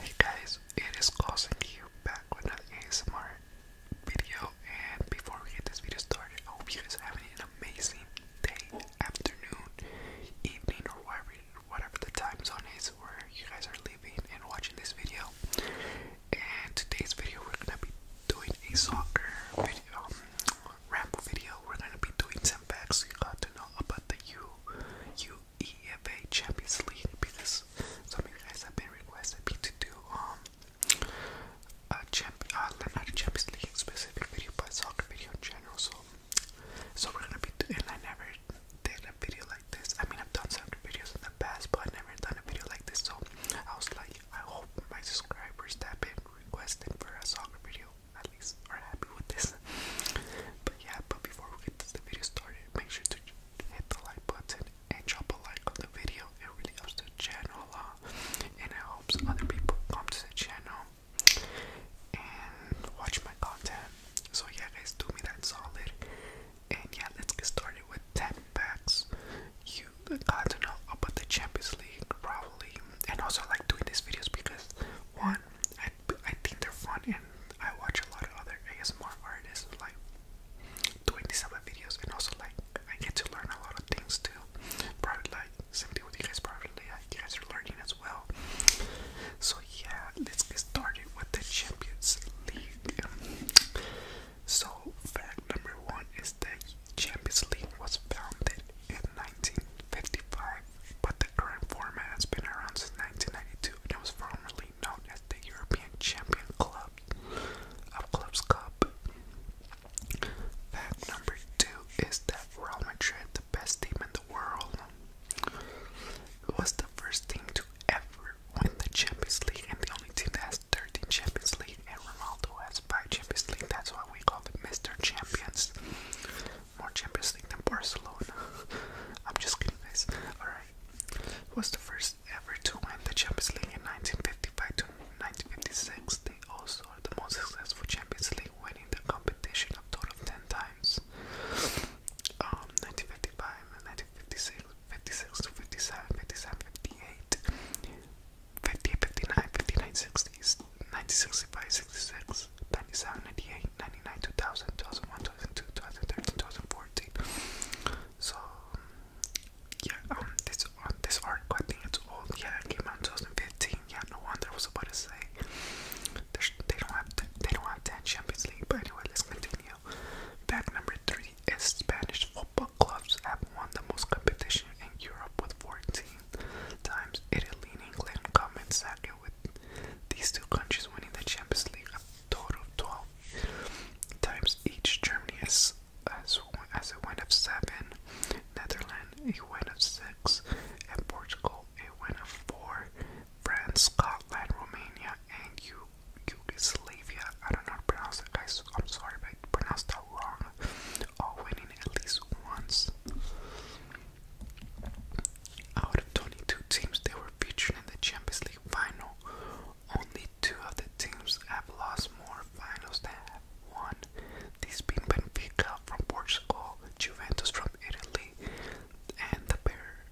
Hey guys, it is causing you back with another ASMR video and before we get this video started, I hope you guys are having an amazing day, afternoon, evening or whatever whatever the time zone is where you guys are living and watching this video. And today's video we're gonna be doing a soccer video um, ramble video. We're gonna be doing some facts you got to know about the U U UEFA Champions League because some of you guys have been requested me to do um, uh, a Champions League specific video but soccer video in general so so we're gonna be doing I never did a video like this. I mean I've done soccer videos in the past but i never done a video like this so I was like I hope my subscribers that been requested for a soccer video at least are happy with this. but yeah, but before we get the video started, make sure to hit the like button and drop a like on the video. It really helps the channel a lot, and it helps other people come to the channel and watch my content. So yeah, guys, do me that solid. And yeah, let's get started with 10 packs. You got to know about the Champions League, probably. And also, like doing these videos because one, I, I think they're fun, and I watch a lot of other ASMR artists like doing these type of videos, and also like I get to learn a lot of things too. Probably like same thing with you guys, probably like you guys are learning as well. So yeah, let's get started with the Champions League. So fact number one is that Champions League was founded in 1955 but the current format has been around since 1992 and it was formerly known as the European Champion Club of Clubs Cup. Fact number two is that Real Madrid, the best team in the world, was the first team to ever win the Champions League and the only team that has 13 Champions League and Ronaldo has 5 Champions League. That's why we call them Mr. Champions. More Champions League than Barcelona. I'm just kidding, guys. Alright. It was the first ever to win the Champions League in 1955 1956. They also are the most successful Champions League, winning the competition a total of 10 times. 1955, um, 1956, 56 to 57, 57, 58, 58, 59, 59, 60, 1965, 66, 97, 98, 99, 2000, 2001, 2002, 2013, 2014. So yeah, um, this um, this article I think it's old. Yeah, it came out 2015. Yeah, no wonder I was about to say they don't have they don't have ten Champions League. But anyway, let's continue. Back number three is Spanish football clubs have won the most competition in Europe with 14 times. Italy and England come in second with these two countries winning the Champions League total of 12 times each. Germany has, has, has a win of 7, Netherlands a win of 6, and Portugal a win of 4, France, Scotland, Romania, and Yugoslavia. I don't know how to pronounce that, guys. I'm sorry I pronounced that wrong. All winning at least once. Out of 22 teams that were featured in the Champions League final, only two of the teams have lost more finals than have won. These being Benfica from Portugal, Juventus from Italy, and the pair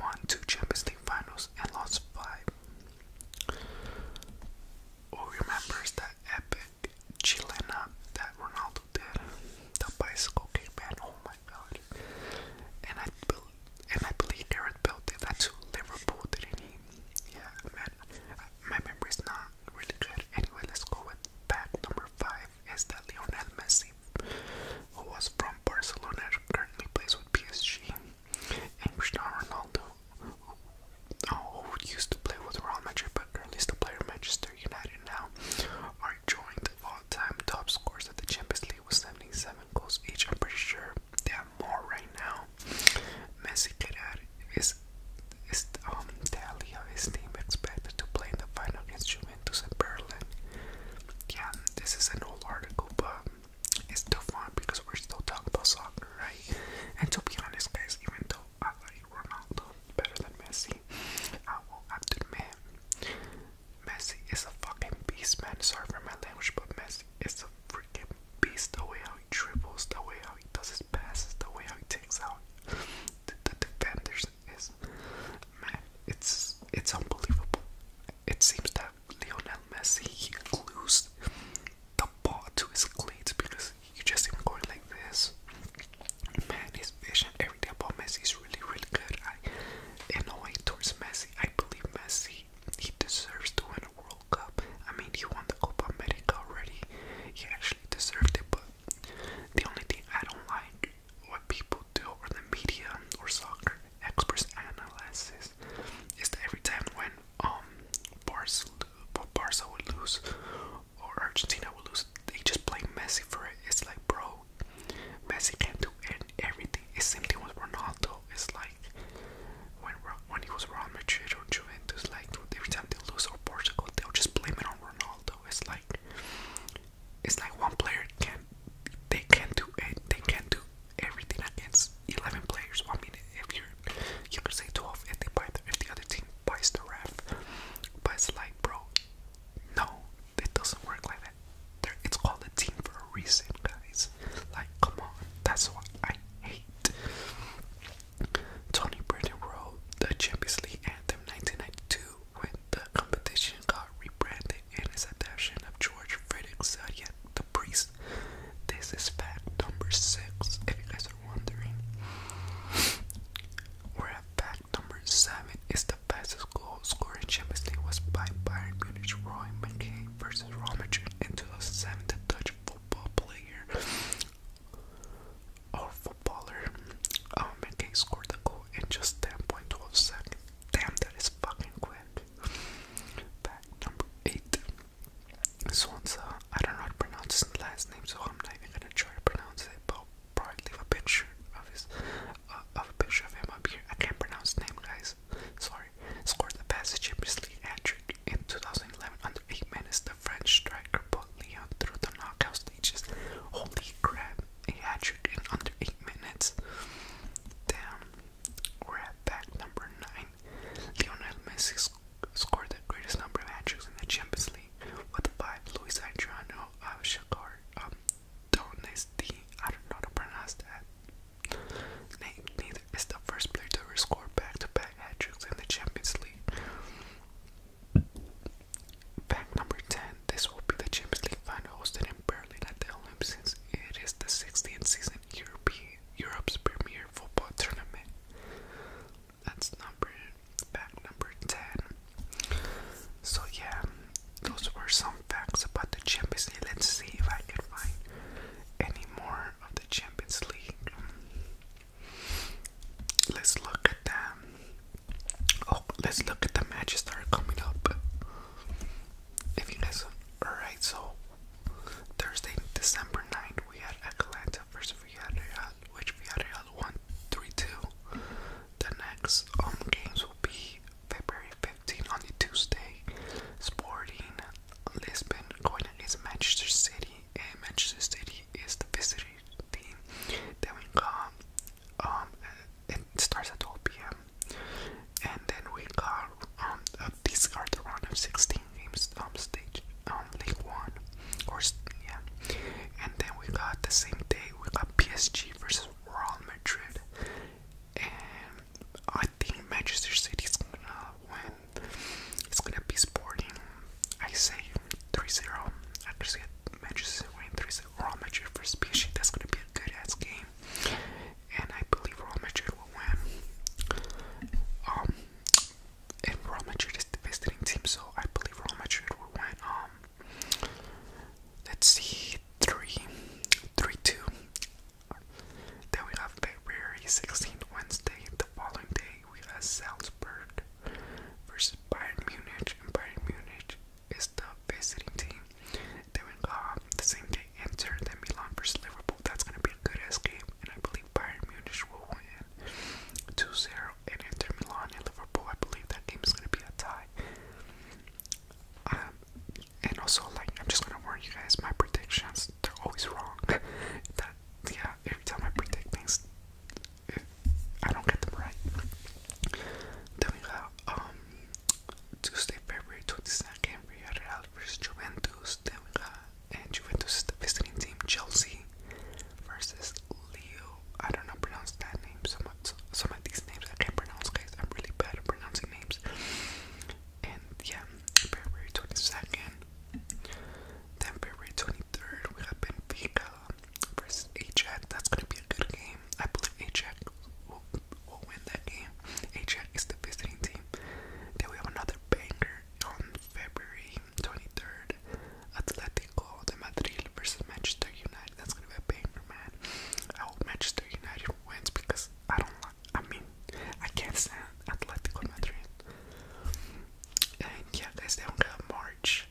won two Champions League finals and lost five. Who remembers that epic Chilena that Ronaldo did? The bicycle kick, man. And I and I believe Gareth built it. That's Liverpool, didn't he? Yeah, man. My memory is not really good. Anyway, let's go with back number five. Is that Lionel Messi, who was from Barcelona, currently plays with PSG, and Cristiano Ronaldo, who, oh, who used to play with Real Madrid, but currently is still player Manchester United now, are joined all-time top scores of the Champions League. Italy with 77 goals each. I'm pretty sure there are more right now. Messi add. is is um Italia his team expected to play in the final against Juventus in Berlin. Yeah, this is an old article, but it's still fun because we're still talking about soccer, right? And to be honest, guys, even though I like Ronaldo better than Messi, I will admit Messi is a fucking beast, man. Sorry for my language, but Messi is a freaking beast. The way how he dribbles, the way how he does his passes, the way how he takes out the, defenders is, man, it's it's unbelievable. It seems that Lionel Messi he glues the ball to his cleats because you just see him going like this. Man, his vision, everything about Messi is really, really good. I, in a way, towards Messi, I believe Messi, he deserves to win a World Cup. I mean, he won the Copa America already. He actually deserved it, but the only thing I don't like what people do, or the media, or soccer experts analysis, is that every time when um Barca, Barca would lose or Argentina would lose, they just blame Messi for it. It's like, bro, Messi can do everything. It's same thing with Ronaldo. It's like when when he was Real Madrid or Juventus, like every time they lose or Portugal, they'll just blame it on Ronaldo. It's like it's like one player can they can't do it. They can't do everything against eleven players. Well, I mean, if you're you could say twelve if they buy the, if the other team buys the ref, but it's like bro, no, it doesn't work like that. They're, it's called a team for a reason, guys. Like, come on, that's why I hate. Tony Brennan wrote the Champions League anthem 1992 when the competition got rebranded in its adaptation of George Frederick Zodiac, the priest. This is fact number six, if you guys are wondering. Where fact number seven is the fastest goal scoring in was by Bayern Munich Roy McKay versus Real Madrid in 2007. The Dutch football player or footballer um, McKay scored the goal in just 10.12 seconds. Damn, that is fucking quick. Fact number eight. Swansa, uh, I don't know how to pronounce his last name, so I'm not even gonna try to pronounce it, but I'll probably leave a picture of his of a picture I can't pronounce his name, guys. Sorry. Scored the Champions League in 2011 under 8 minutes. The French striker put Leon through the knockout stages. Holy crap! A hat-trick in under 8 minutes. Damn. We're number 9. Lionel Messi scored the greatest number of hat-tricks in the Champions League with 5. Luis Adriano of uh, Shakhtar um, Donesti, I don't know how to pronounce that neither, is the first player to score back-to-back hat tricks in the Champions League. Fact number 10, this will be the Champions League final hosted in Berlin at the Olympics it is the 16th season European, Europe's premier football tournament. That's number, fact number 10. So yeah, those were some facts about the Champions League. Let's see if I can find any more of the Champions League. Let's look at them. Oh, let's look at the matches that are coming up. If you guys, alright, so Thursday, December 9th, we had Atalanta versus Villarreal, which Villarreal won 3 2. The next home games will be February 15 on the Tuesday, Sporting Lisbon going against Manchester City, and Manchester City is the visiting team that we got. Um, it starts at 12 p.m. And then we got um uh, these are the round of 16 games um stage um league one or yeah. And then we got the same day we got PSG versus Real Madrid and I think Manchester City is gonna win. It's gonna be Sporting. I say 3-0. I just get Manchester City win 3-0. Real Madrid versus PSG. That's gonna be a good ass game, and I believe Real Madrid will win. Um, and Real Madrid is the visiting team, so I believe Real Madrid will win. Um, Let's see, three, three, two. Then we have February 16th, Wednesday. The following day, we have Salzburg versus Bayern Munich, and Bayern Munich is the visiting team. Then we have the same day, Inter, then Milan versus Liverpool. That's gonna be a good ass game, and I believe Bayern Munich will win 2-0. And Inter Milan and Liverpool, I believe that game is gonna be a tie. Um, and also like I'm just gonna warn you guys, my predictions they're always wrong. that yeah, every time I predict things, eh, I don't get them right. Then we got um Tuesday, February 22nd, Real versus Juventus. Then we got and Juventus is the visiting team, Chelsea versus Leo. I don't know pronounce that some of, these names I can't pronounce, guys. I'm really bad at pronouncing names. And yeah, February 22nd. Then February 23rd, we have Benfica versus Ajax. That's going to be a good game. I believe Ajax will, will win that game. Ajax is the visiting team. Then we have another banger on February 23rd. Atletico de Madrid versus Manchester United. That's gonna be a pain for man. I hope Manchester United wins because I don't like. I mean, I can't stand Atletico Madrid. And yeah, guys, they don't have March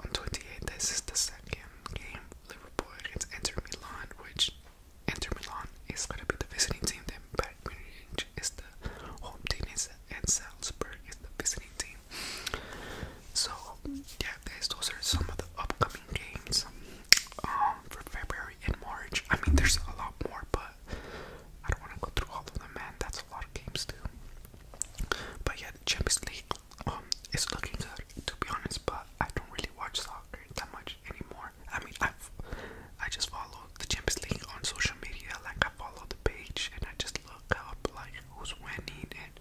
on 28th. This is the second game. Liverpool against Inter Milan, which Inter Milan is gonna be the visiting team. Then but Munich is the home team, and Salzburg is the visiting team. So yeah, guys, those are some of the upcoming games um, for February and March. I mean, there's a lot more, but I don't want to go through all of them, man. That's a lot of games, too. But yeah, the Champions League um, is looking good, to be honest, but I don't really watch soccer that much anymore. I mean, I've, I just follow the Champions League on social media, like I follow the page and I just look up like who's winning and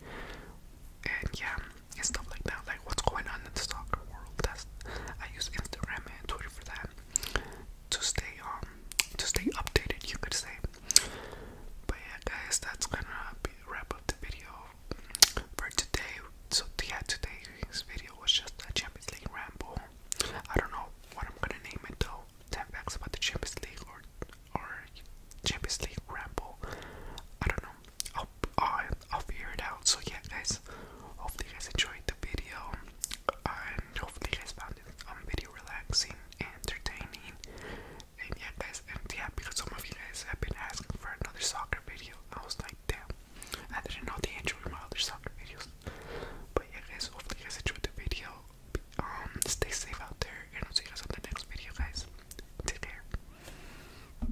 and yeah, and stuff like that. Like what's going on in the soccer world. That's I use Instagram and Twitter for that to stay um to stay updated, you could say. But yeah, guys, that's gonna be, wrap up the video for today. So yeah, today's video was just a Champions League ramble. I don't know what I'm gonna name it though. 10 facts about the Champions League or or Champions League ramble. I don't I'll, figure it out. So yeah, guys, hopefully you guys enjoyed the video, and hopefully you guys found this um, video relaxing entertaining. And yeah, guys, and yeah, because some of you guys have been asking for another soccer video, I was like, damn, I didn't know they enjoyed my other soccer videos. But yeah, guys, hopefully you guys enjoyed the video. Um, stay safe out there, and I'll see you guys on the next video, guys. Take care.